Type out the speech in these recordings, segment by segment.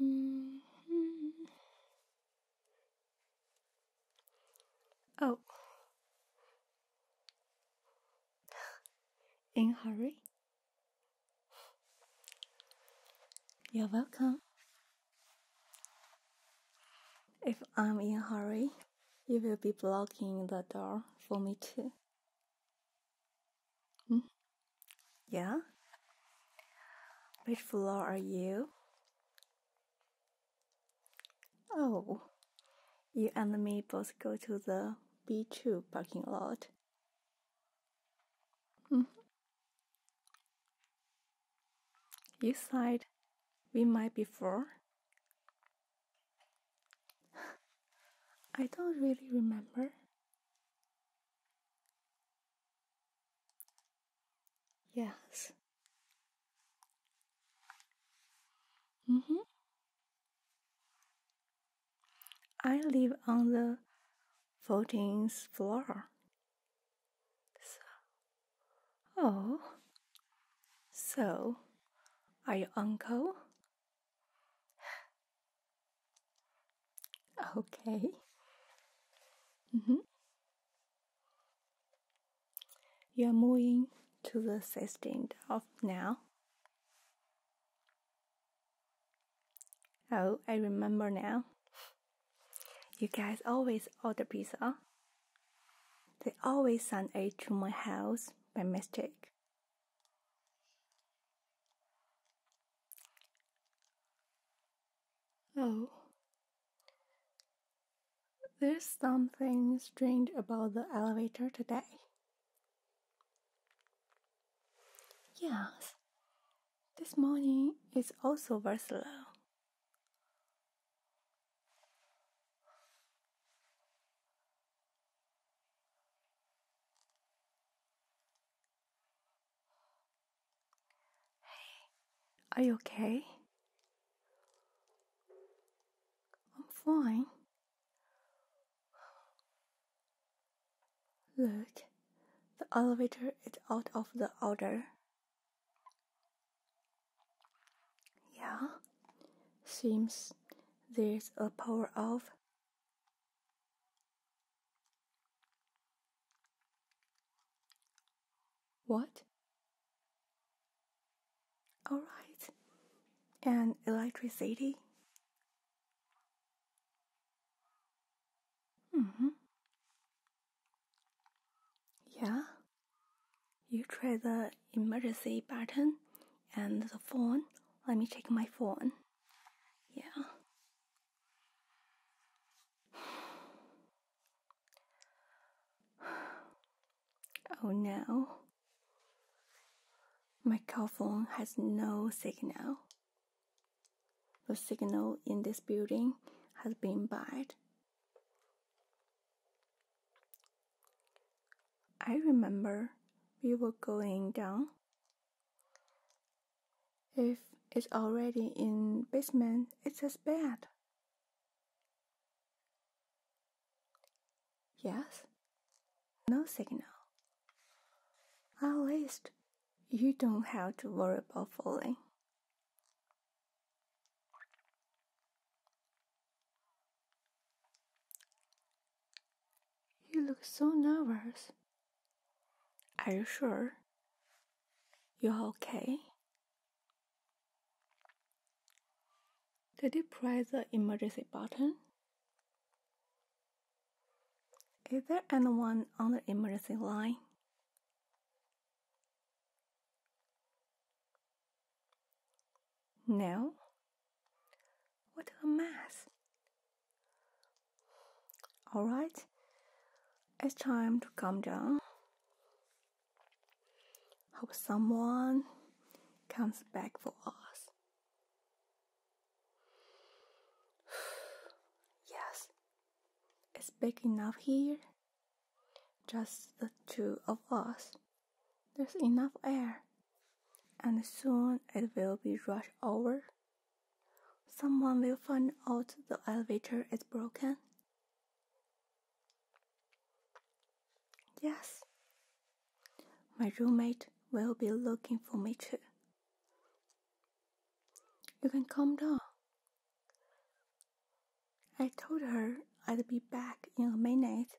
Mm-hmm. Oh. In hurry? You're welcome. If I'm in a hurry, you will be blocking the door for me too. -hmm. Yeah? Which floor are you? Oh, you and me both go to the B2 parking lot. -hmm. You said we might be four. I don't really remember. Yes. Mm-hmm. I live on the 14th floor. oh, so are you uncle? Okay. Mm-hmm. You are moving to the 16th of now. Oh, I remember now. You guys always order pizza. They always send it to my house by mistake. Oh. There's something strange about the elevator today. Yes, this morning is also very slow. Hey, are you okay? I'm fine. Look, the elevator is out of the order. Yeah, seems there's a power off. What? Alright. And electricity? Mm-hmm. Yeah. You try the emergency button and the phone. Let me check my phone. Yeah. Oh no. My cell phone has no signal. The signal in this building has been bad. I remember we were going down if it's already in basement, it's as bad. Yes? No signal. At least you don't have to worry about falling. You look so nervous. Are you sure? You're okay? Did you press the emergency button? Is there anyone on the emergency line? No? What a mess! Alright, it's time to calm down. Hope someone comes back for us. yes, it's big enough here. Just the two of us. There's enough air, and soon it will be rushed over. Someone will find out the elevator is broken. Yes. My roommate will be looking for me too. You can calm down. I told her I'd be back in a minute.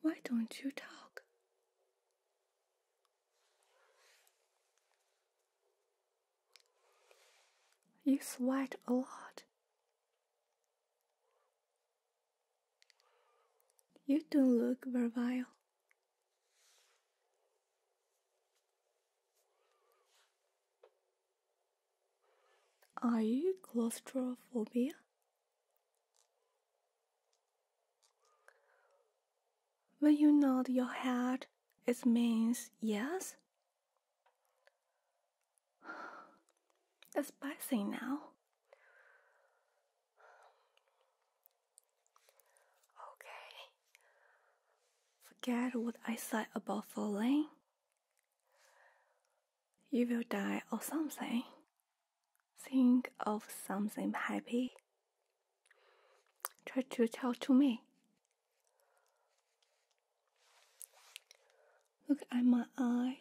Why don't you talk? You sweat a lot. You don't look virile. Are you claustrophobic? When you nod your head, it means yes. It's passing now. Okay. Forget what I said about falling you will die or something. Think of something happy. Try to talk to me. Look at my eyes.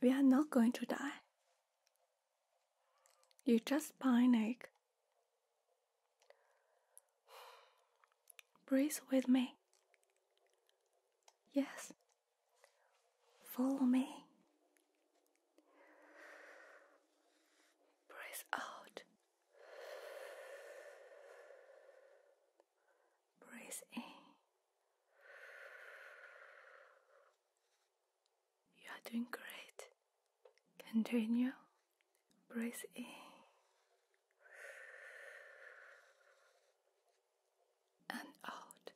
We are not going to die. You just panic Breathe with me. Yes. Follow me. Breathe out. Breathe in. You are doing great. Continue. Breathe in. And out.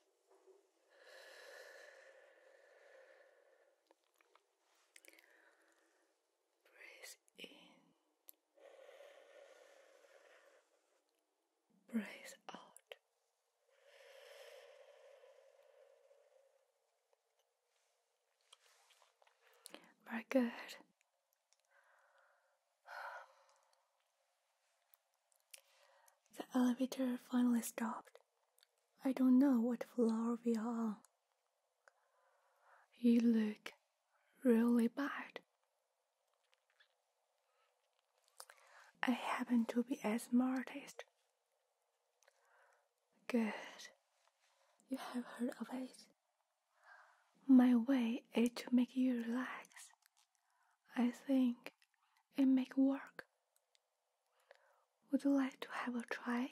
Breathe in. Breathe out. Very good. The elevator finally stopped. I don't know what floor we are You look really bad. I happen to be a smartest. Good. You have heard of it. My way is to make you relax. I think it make work. Would you like to have a try?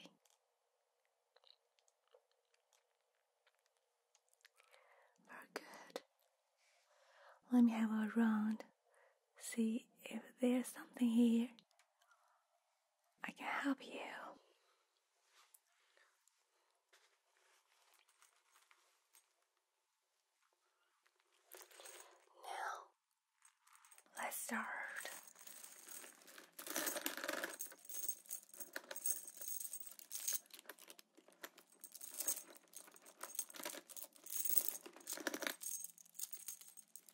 Very good. Let me have a round. See if there's something here. I can help you. Now, let's start.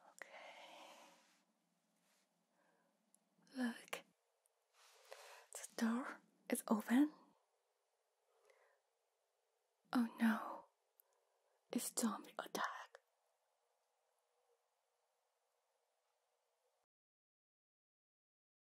Okay. Look. The door is open. Oh no. It's zombie attack.